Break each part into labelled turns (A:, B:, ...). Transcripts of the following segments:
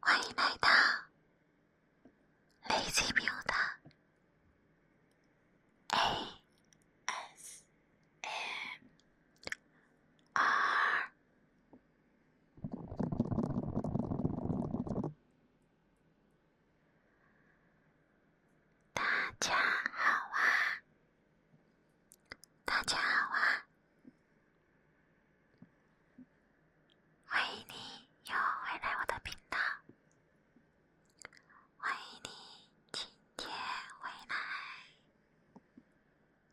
A: 欢迎来到。雷子喵的 a S M R，大家好啊，大家好啊。欢迎你又回来我的频道，欢迎你今天回来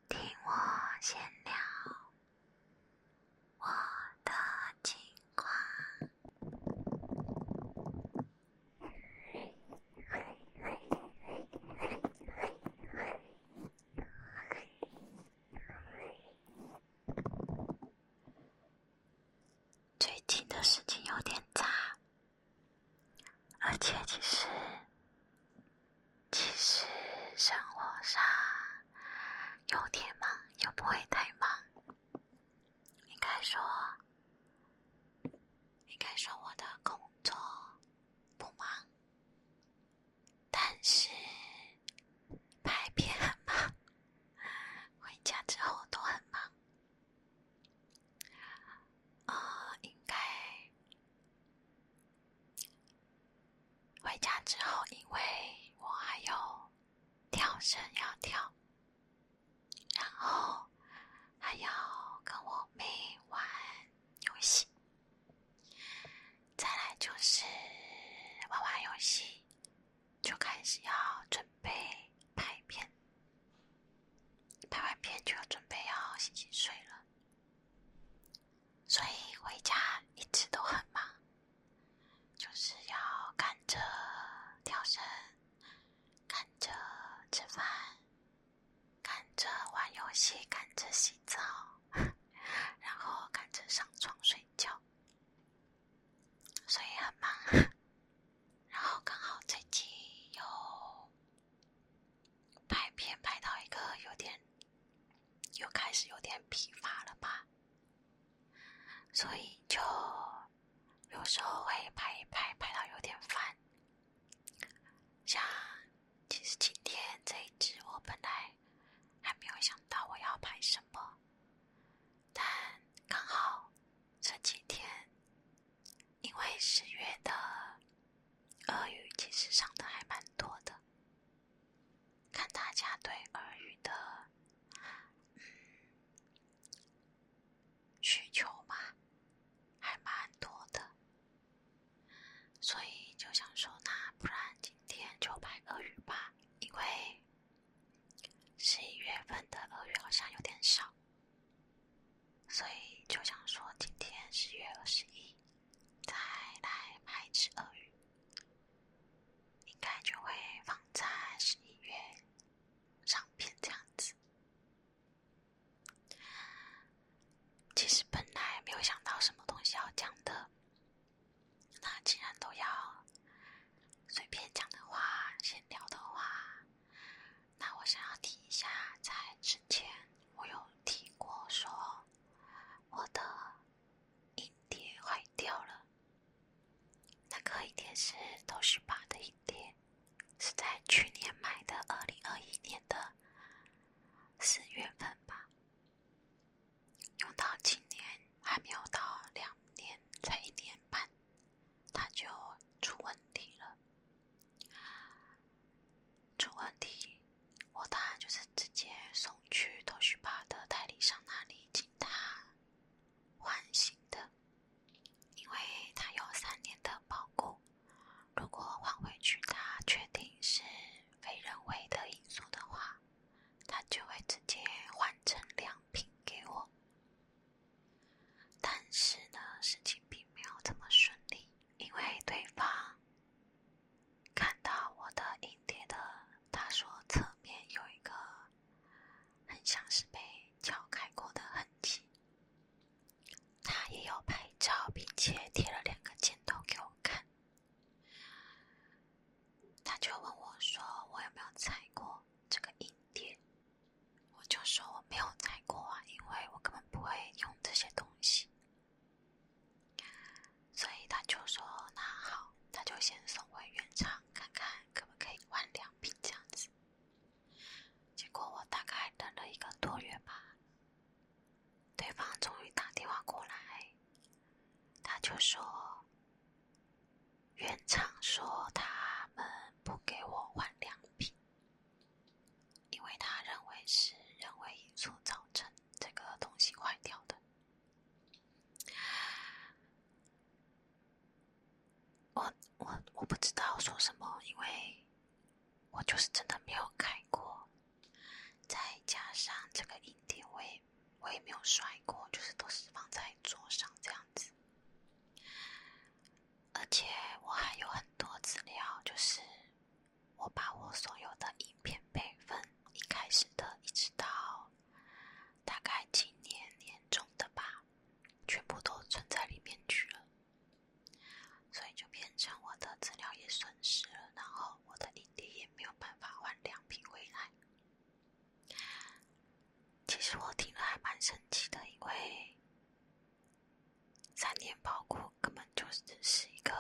A: 听我闲聊我的情况。最近的事情有点杂，而且其实，其实生活上有点忙，又不会太忙。应该说，应该说我的工作不忙，但是拍片很忙。回家之后都很忙，呃，应该回家之后，因为我还有跳绳要跳，然后还要跟我妹玩游戏，再来就是玩玩游戏。就开始要准备拍片，拍完片就要准备要洗洗睡了。所以回家一直都很忙，就是要赶着跳绳，赶着吃饭，赶着玩游戏，赶着洗澡，然后赶着上床睡觉。所以很忙，然后刚好最近有拍片，拍到一个有点，又开始有点疲乏了吧。所以就有时候会拍一拍，拍到有点烦。像其实今天这一集，我本来还没有想到我要拍什么。但刚好这几天，因为十月的俄语其实上的还蛮多的，看大家对俄语的嗯需求嘛，还蛮多的，所以就想说，那不然今天就拍俄语吧，因为。十一月份的二月好像有点少，所以就想说今天十一月二十一，再来拍一只鳄鱼，应该就会放在十一月上片这样子。其实本来没有想到什么东西要讲的。那既然都要随便讲的话、闲聊的话，那我想要听一下，在之前我有提过说，我的硬碟坏掉了。那个影碟是《都是八》的硬碟，是在去年买的，二零二一年的四月份吧。用到今年还没有到两年，才一年半，他就出问题了。出问题，我当然就是直接送去都需保的代理商那里，请他换新的，因为他有三年的保固。如果换回去，他确定是非人为的因素的话。他就会直接换成两品给我，但是呢，事情并没有这么顺利，因为对方看到我的影碟的他说侧面有一个很像是被撬开过的痕迹，他也有拍照，并且贴了两个箭头给我看。他就问我说：“我有没有踩过这个硬点？”我就说：“我没有踩过啊，因为我根本不会用这些东西。”所以他就说：“那好，他就先送回原厂看看，可不可以换两瓶这样子。”结果我大概等了一个多月吧，对方终于打电话过来。他就说：“原厂说他们不给我换良品，因为他认为是人为因素造成这个东西坏掉的。我我我不知道说什么，因为我就是真的没有开过。”再加上这个硬盘，我也我也没有摔过，就是都是放在桌上这样子。而且我还有很多资料，就是我把我所有的影片备份，一开始的一直到大概今年年中的吧，全部都存在里面去了。所以就变成我的资料也损失了，然后我的影盘也。没有办法换两瓶回来。其实我听了还蛮生气的，因为三年包护根本就只是一个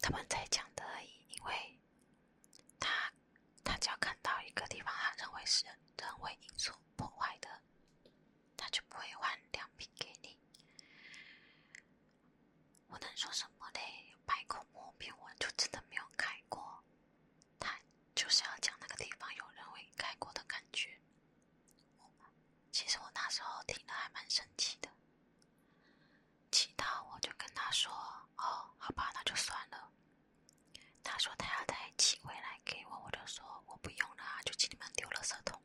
A: 他们在讲的而已。因为他他只要看到一个地方，他认为是人为因素破坏的，他就不会换两瓶给你。我能说什么嘞？百口莫辩，我就真的没有开过。他就是要讲那个地方有人会开过的感觉。其实我那时候听了还蛮生气的。其他我就跟他说：“哦，好吧，那就算了。”他说他要再寄回来给我，我就说我不用了就请你们丢了舌头。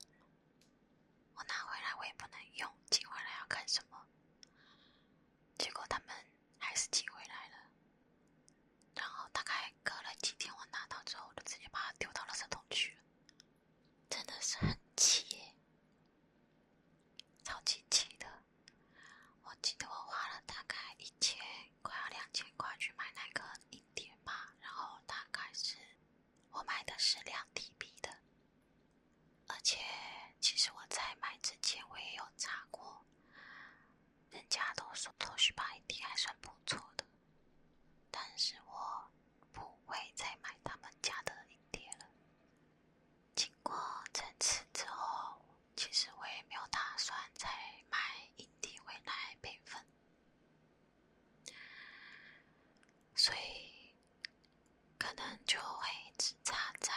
A: 我拿回来我也不能用，寄回来要干什么？结果他们还是寄回来了，然后大概隔了几天我拿到之后，我就直接把它丢到了垃圾桶去了，真的是很气，超级气的。我记得我花了大概一千，快要两千块去买那个一碟吧，然后大概是。我买的是两 T B 的，而且其实我在买之前我也有查过，人家都说东旭盘一还算不错的，但是我不会再买他们家的影碟了。经过这次之后，其实我也没有打算再买影碟回来备份。所以，可能就会只插在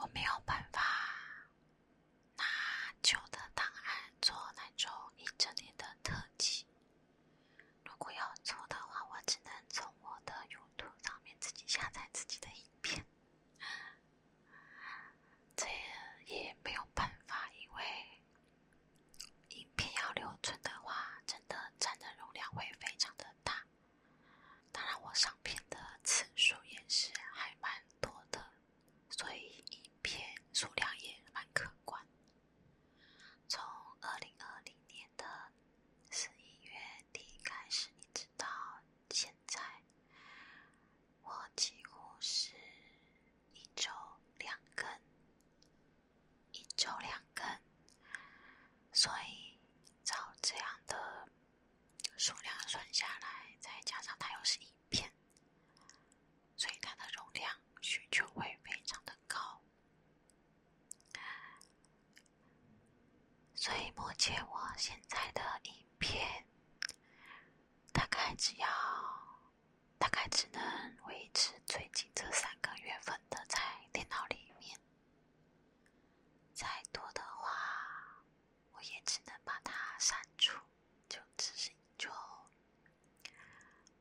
A: 我没有办法拿旧的档案做那种一整年的特辑。如果要做的话，我只能从我的用途上面自己下载自己的影片，这也没有办法，因为。影片要留存的话，真的占的容量会非常的大。当然，我上片的次数也是还蛮多的，所以影片数量也蛮可观。从二零二零年的十一月底开始，一直到现在，我几乎是一周两更。一周两根，所以照这样的数量算下来，再加上它又是一片，所以它的容量需求会非常的高。所以目前我现在的一片大概只要。大概只能维持最近这三个月份的在电脑里面，再多的话，我也只能把它删除，就只是就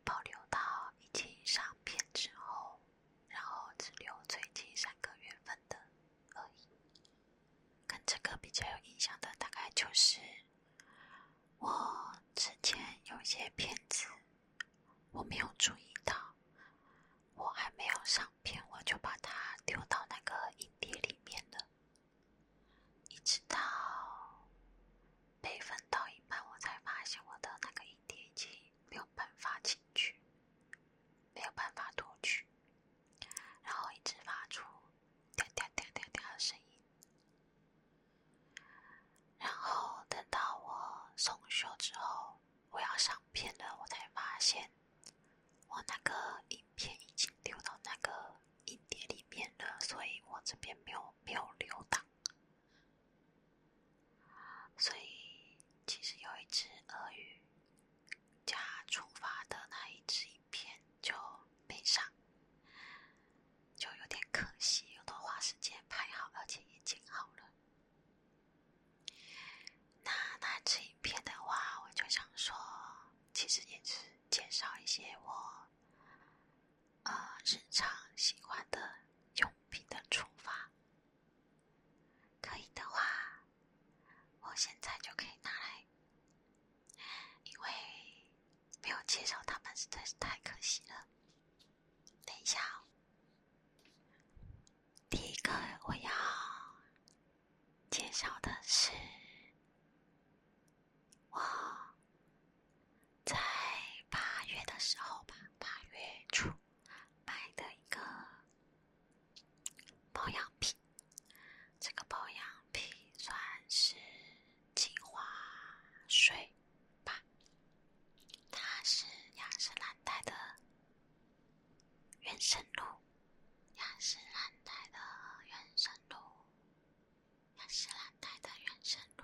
A: 保留到已经上片之后，然后只留最近三个月份的而已。跟这个比较有印象的，大概就是。我之前有些片子，我没有注意到，我还没有上片，我就把它丢到那个影碟里面了。一直到备份到一半，我才发现我的那个影碟已经没有办法进去，没有办法读取，然后一直发出“声音。然后等到我送修之后，我要上片了，我才发现我那个影片已经丢到那个影碟里面了，所以我这边没有没有留档。所以其实有一只鳄鱼加出发的那一只影片就没上。就有点可惜，都花时间拍好，而且也剪好了。那那支影片的话，我就想说，其实也是介绍一些我呃日常喜欢的用品的出发。可以的话，我现在就可以拿来，因为没有介绍他们实在是太可惜了。等一下，第一个我要介绍的是我在八月的时候吧，八月初买的一个保养品。这个保养品算是精华水。吧，它是亚士兰泰的原生露，亚士兰泰的原生露，亚士兰泰的原生露。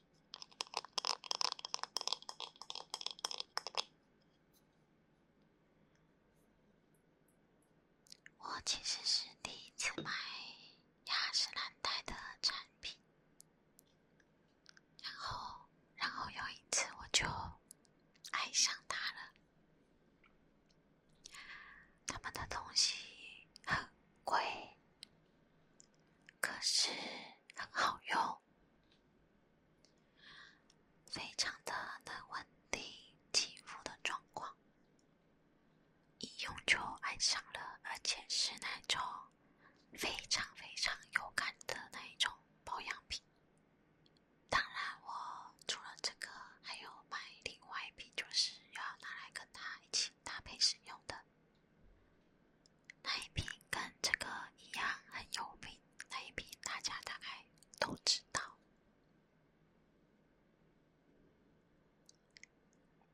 A: 我其实是第一次买雅诗兰黛的产品，然后，然后有一次我就爱上它了。他们的东西很贵。可是很好用，非常的能稳定肌肤的状况，一用就爱上了，而且是那种非常非常有感的那一种保养品。当然，我除了这个，还有买另外一瓶，就是要拿来跟它一起搭配使用的。那一瓶跟这个一样很有名，那一瓶大家大概都知道，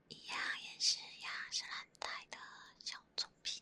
A: 一样也是雅诗兰黛的小众品。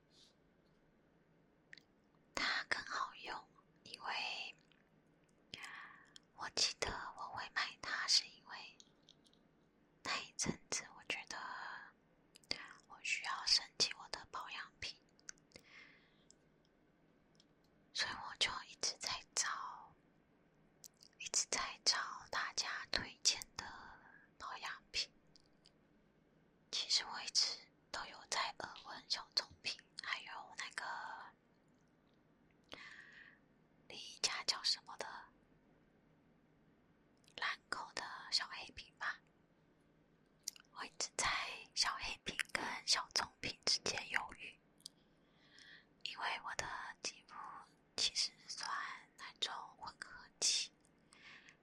A: 它更好用，因为我记得我会买它，是因为那一阵子我觉得我需要升级我的保养品，所以我就一直在找，一直在找大家推荐的保养品。其实我一直都有在耳闻小棕瓶，还有那个另一家叫什么的兰蔻的小黑瓶吧。我一直在小黑瓶跟小棕瓶之间犹豫，因为我的肌肤其实算那种混合肌。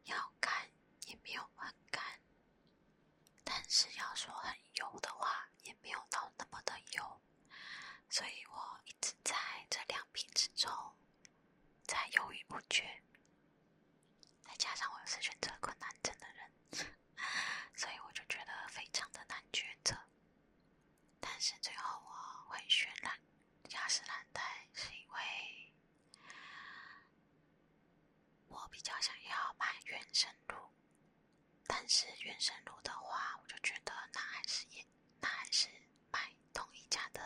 A: 要干也没有很干，但是要说很油的话，也没有到那么的油，所以我一直在这两瓶之中在犹豫不决。再加上我是选择困难症的人，所以我就觉得非常的难抉择。但是最后我会选兰雅诗兰黛，是因为。我比较想要买原生乳，但是原生乳的话，我就觉得那还是也那还是买同一家的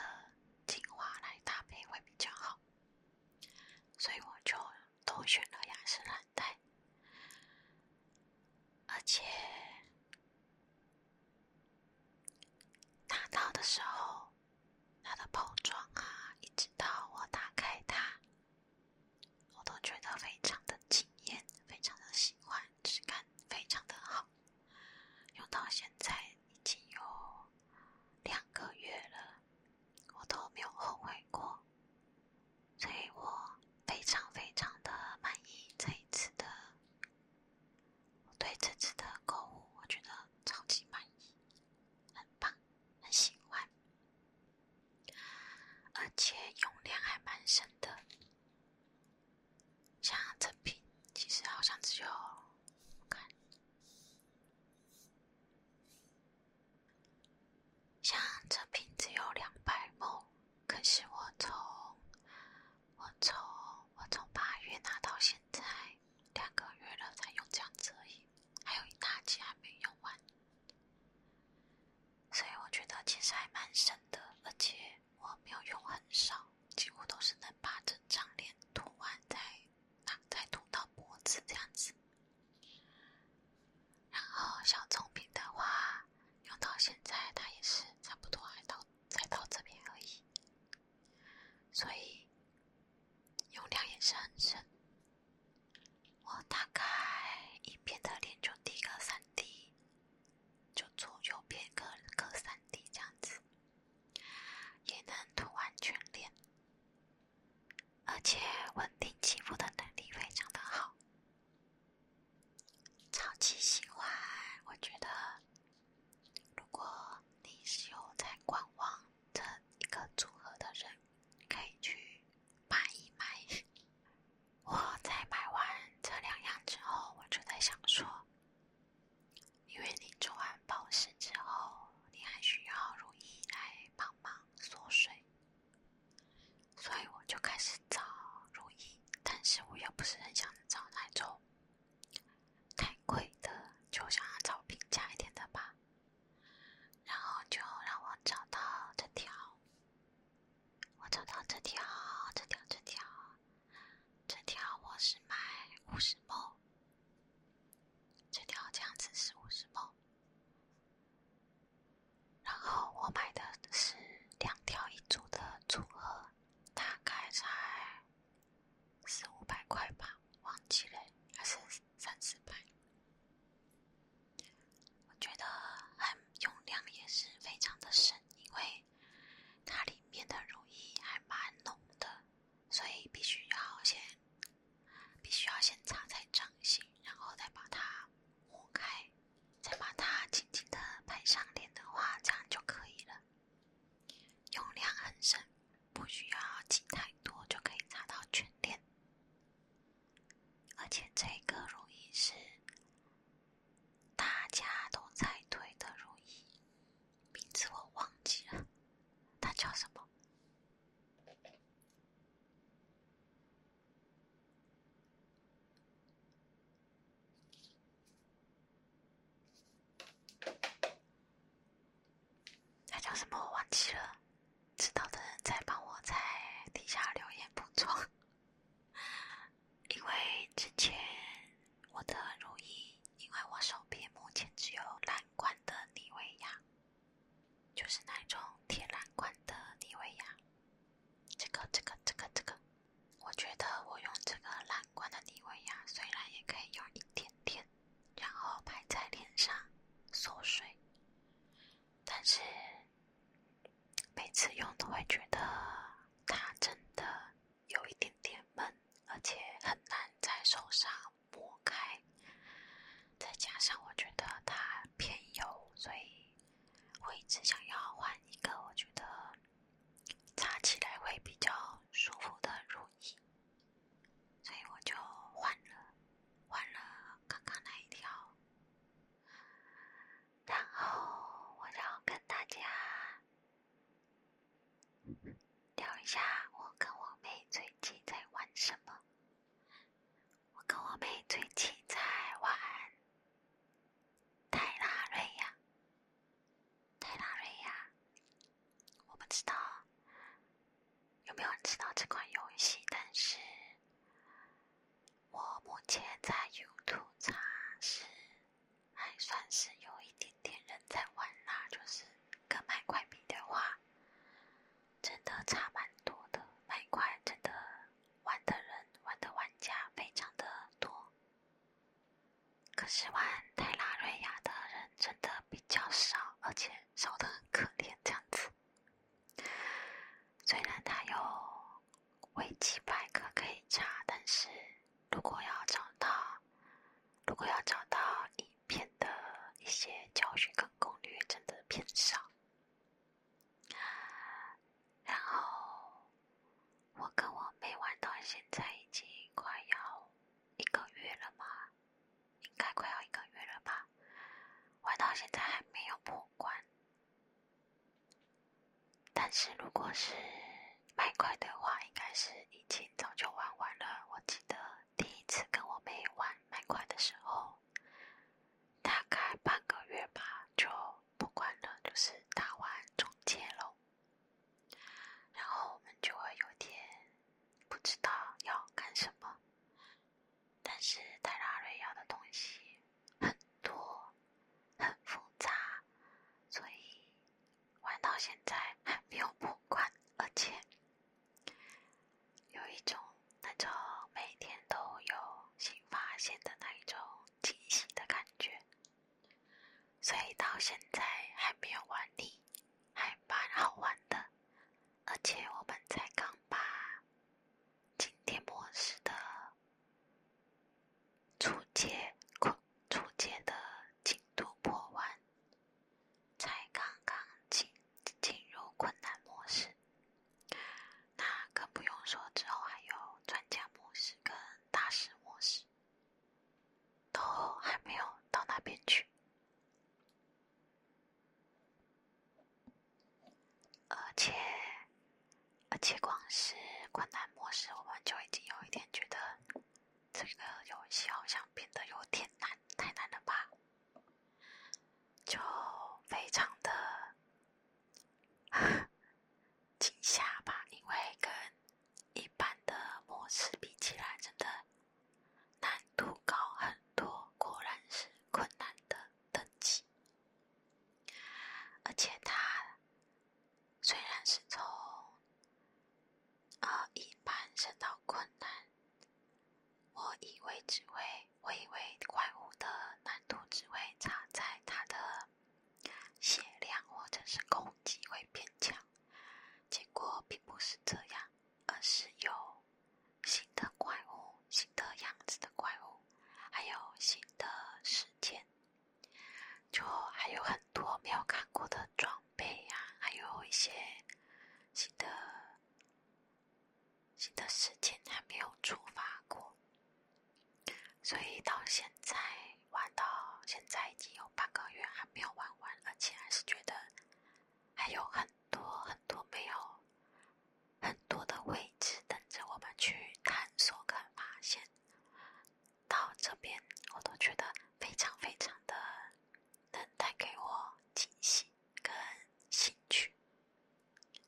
A: 精华来搭配会比较好，所以我就都选了雅诗兰黛。而且拿到的时候。它的包装啊，一直到我打开它，我都觉得非常的惊艳，非常的喜欢，质感非常的好，用到现在已经有两个月了，我都没有后悔过，所以我非常非常的满意这一次的。我对这次的购物，我觉得超级满意，很棒，很喜欢，而且用量还蛮省的。像这瓶，其实好像只有，我看，像这瓶只有两百毛，可是我从我从我从八月拿到现在两个月了，才用这样子而已，还有一大截还没用完，所以我觉得其实还蛮省的，而且我没有用很少，几乎都是能把整张脸涂完再再涂到脖子这样子。然后小棕瓶的话，用到现在它也是差不多还到才到这边而已。所以用量也是很省，我大概一边的脸就滴个三滴，就左右边各各三滴这样子，也能涂完全脸，而且稳定肌肤的能力非常的好，超级喜欢，我觉得。如果你是有在观望这一个组合的人，可以去买一买。我在买完这两样之后，我就在想说，因为你做完保湿之后，你还需要乳液来帮忙锁水，所以我就开始找乳液，但是我又不是很想找那种。太贵的，就想要找平价一点的吧。然后就让我找到这条，我找到这条，这条，这条，这条我是买五十包，这条这样子是五十包。然后我买的是两条一组的组合，大概在。四五百块吧，忘记了，还是三四百。我觉得，很用量也是非常的省，因为它里面的乳液还蛮浓的，所以必须要先，必须要先擦在掌心，然后再把它抹开，再把它轻轻的拍上脸的话，这样就可以了。用量很深，不需要挤太多就可以擦到全脸。而且这个乳液是大家都在推的乳液，名字我忘记了，它叫什么？他叫什么？我忘记了。知道的人再帮我在底下留言补充，因为之前我的如意，因为我手边目前只有蓝罐的妮维雅，就是那种铁蓝罐的妮维雅。这个、这个、这个、这个。我觉得我用这个蓝罐的妮维雅，虽然也可以用一点点，然后拍在脸上锁水，但是每次用都会觉得它真的有一点点闷，而且很难在手上抹开。再加上我觉得它偏油，所以我一直想要换一个，我觉得。扎起来会比较舒服的如意，所以我就换了换了刚刚那一条。然后我要跟大家聊一下，我跟我妹最近在玩什么。我跟我妹最近在玩泰拉瑞亚。泰拉瑞亚，我不知道有没有人知道这款游戏，但是我目前在 YouTube 查是，还算是有一点点人在玩啦。就是跟买块比的话，真的差蛮多的，买块真的玩的人玩的玩家非常的多。可是玩泰拉瑞亚的人真的比较少，而且少的很可怜这样子。虽然它有维基百科可以查，但是如果要找到，如果要找到影片的一些教学跟攻略，真的偏少。然后。我跟我妹玩到现在已经快要一个月了吧，应该快要一个月了吧，玩到现在还没有破关。但是如果是麦块的话，应该是已经早就玩完了。我记得第一次跟我妹玩麦块的时候，大概半个月吧就破关了，就是打完终结了。然后我们就会有点不知道要干什么，但是泰让瑞要的东西很多、很复杂，所以玩到现在还没有破关，而且有一种那种每天都有新发现的那一种惊喜的感觉。所以到现在还没有完呢，还蛮好玩的。而且我们才刚把经典模式的初阶初阶的进度破完，才刚刚进进入困难模式，那更不用说之后还有专家模式跟大师模式。都还没有到那边去，而且而且光是困难模式，我们就已经有一点觉得这个游戏好像变得有点难，太难了吧？就非常的 惊吓吧，因为跟。一般的模式比起来，真的难度高很多。果然是困难的等级，而且它虽然是从呃一般升到困难，我以为只会，我以为怪物的难度只会差在它的。血量或者是攻击会变强，结果并不是这样，而是有新的怪物、新的样子的怪物，还有新的事件，就还有很多没有看过的装备呀，还有一些新的新的事件还没有触发过。所以到现在玩到现在已经有半个月，还没有玩完，而且还是觉得还有很多很多没有很多的位置等着我们去探索跟发现。到这边我都觉得非常非常的能带给我惊喜跟兴趣，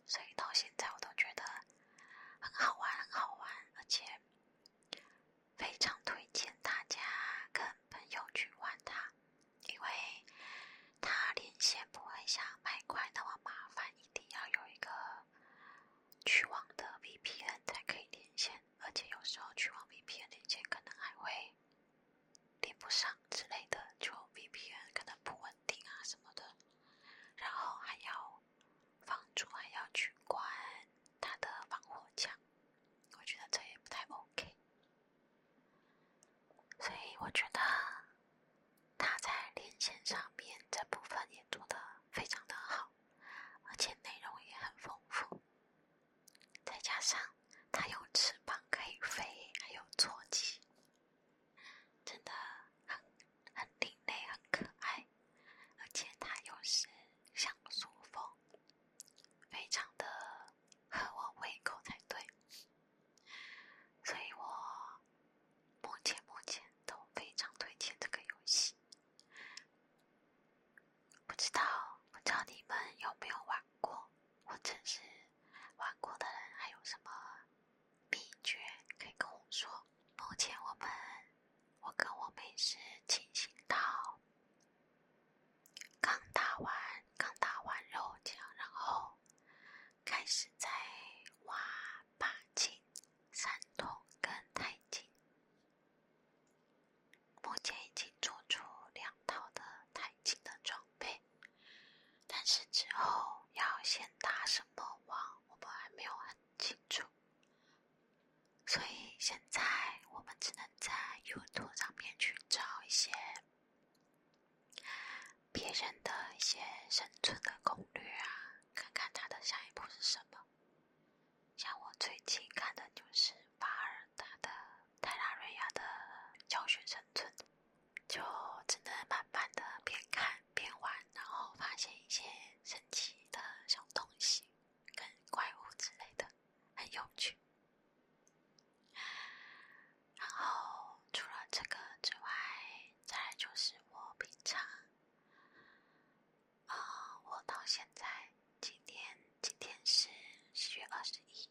A: 所以到现在我都觉得很好玩，很好玩，而且。非常推荐大家跟朋友去玩它，因为它连线不会像麦块那么麻烦，一定要有一个去网的 VPN 才可以连线。而且有时候去网 VPN 连线可能还会连不上之类的，就 VPN 可能不稳定啊什么的。然后还要。房主还要去关他的防火墙，我觉得这也不太 OK。所以我觉得他在连线上面这部分也做得非常的好，而且内容也很丰富。再加上他有翅膀可以飞，还有坐骑，真的。很很另类，很可爱，而且它又是像素风，非常的合我胃口才对。所以我目前目前都非常推荐这个游戏。不知道不知道你们有没有玩过，或者是玩过的人还有什么秘诀可以跟我说？目前我们。我跟我妹是清醒到，刚打完刚打完肉酱，然后开始在挖八经、三通跟太经。目前已经做出两套的太经的装备，但是之后要先打什么网，我们还没有很清楚。所以现在我们只能在 YouTube 上面去找一些别人的一些生存的攻略啊，看看他的下一步是什么。像我最近看的就是巴尔他的《泰拉瑞亚》的教学生存，就只能慢慢的边看。边玩，然后发现一些神奇的小东西跟怪物之类的，很有趣。然后除了这个之外，再来就是我平常，啊，我到现在今天今天是十月二十一，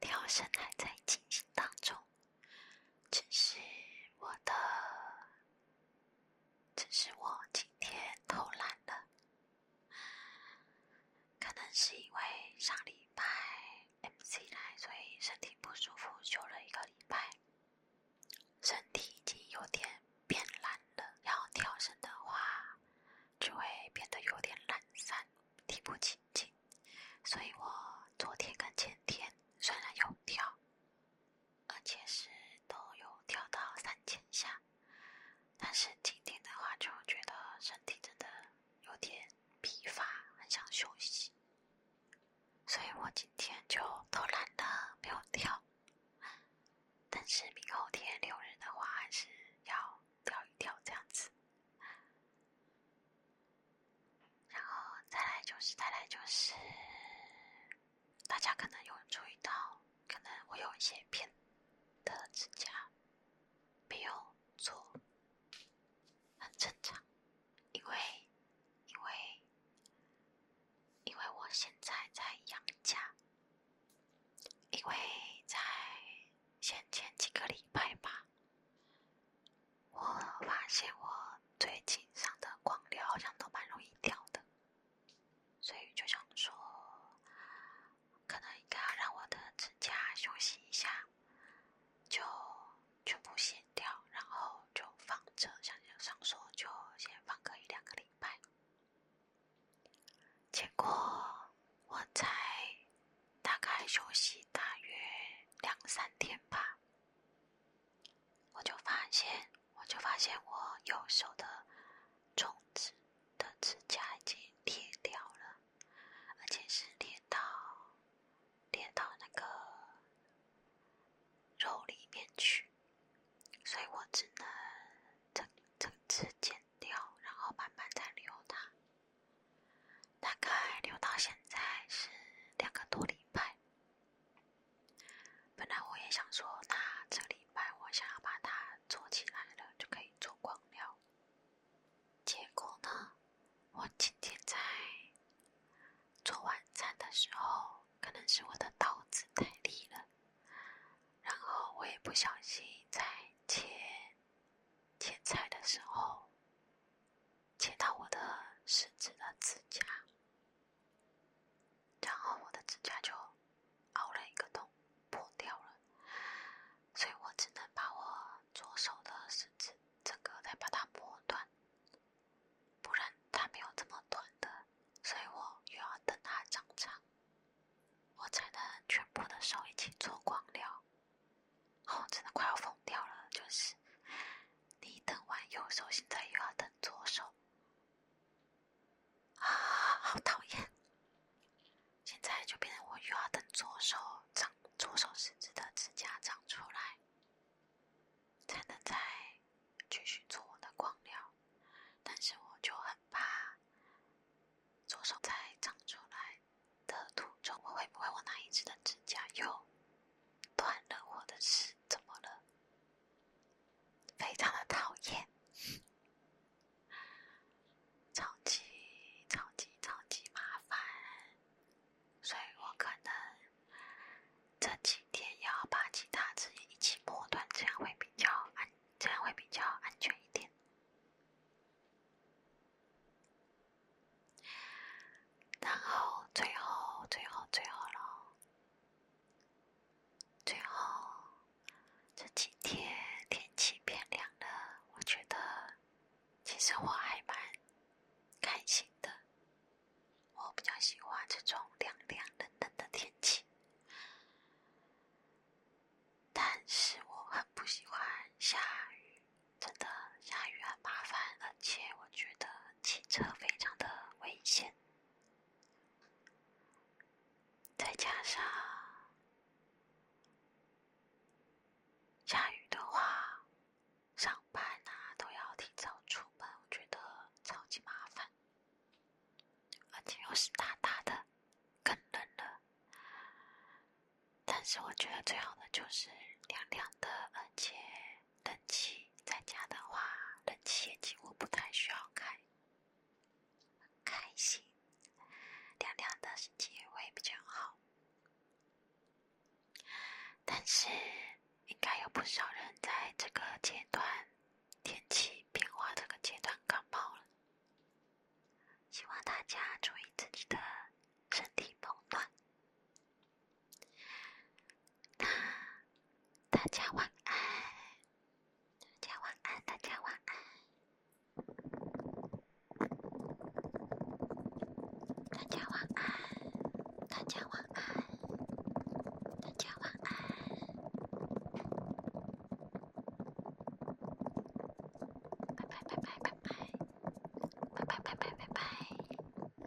A: 跳绳还在进行当中，只是我的。只是我今天偷懒了，可能是因为上礼拜 MC 来，所以身体不舒服，休了一个礼拜。身体已经有点变懒了，要跳绳的话就会变得有点懒散，提不起劲，所以我昨天跟前天虽然有跳。而且是都有跳到三千下，但是今天的话就觉得身体真的有点疲乏，很想休息，所以我今天就偷懒的没有跳。但是明后天六日的话还是要跳一跳这样子，然后再来就是再来就是。大家可能有注意到，可能我有一些偏的指甲，没有做，很正常，因为，因为，因为我现在在养家，因为在先前几个礼拜吧，我发现我。最近上的光疗好像都蛮容易掉的，所以就想说，可能应该要让我的指甲休息一下，就全部卸掉，然后就放着，想想上手就先放个一两个礼拜。结果我才大概休息大约两三天吧。我就发现，我就发现我右手的中指的指甲已经裂掉了，而且是裂到裂到那个肉里面去，所以我只能整整只剪掉，然后慢慢再留它。大概留到现在是两个多礼拜。本来我也想说，那这礼拜我想要把它做起来了，就可以做光疗。结果呢，我今天在做晚餐的时候，可能是我的刀子太利了，然后我也不小心在切切菜的时候，切到我的食指的指甲。然后我的指甲就凹了一个洞，破掉了，所以我只能把我左手的食指整个再把它磨断，不然它没有这么短的，所以我又要等它长长，我才能全部的手一起做光疗，哦，真的快要疯掉了，就是。你等完右手，现在又要等左手，啊，好讨厌！现在就变成我又要等左手长，左手食指的指甲长出来，才能再继续做我的光疗。但是我就很怕，左手在长出来的途中，我会不会我那一只的指甲又？断了或者是怎么了？非常的讨厌，超级超级超级麻烦，所以我可能这几天要把其他直接一起抹断，这样会比较安，这样会比较安全一点。然后最后，最后，最后了。最后这几天天气变凉了，我觉得其实我还蛮开心的。我比较喜欢这种凉凉、的、冷的天气，但是我很不喜欢下雨，真的下雨很麻烦，而且我觉得。骑车非常的危险，再加上下雨的话，上班呐都要提早出门，我觉得超级麻烦，而且又是大大的，更冷了。但是我觉得最好的就是凉凉的，而且。冷气在家的话，冷气也几乎不太需要开，开心，凉凉的心情也会比较好。但是，应该有不少人在这个阶段，天气变化这个阶段感冒了，希望大家注意自己的身体保暖。大大家晚安，大家晚安，大家晚安，大家晚安，大家晚安，拜拜拜拜拜拜，拜拜拜拜拜拜。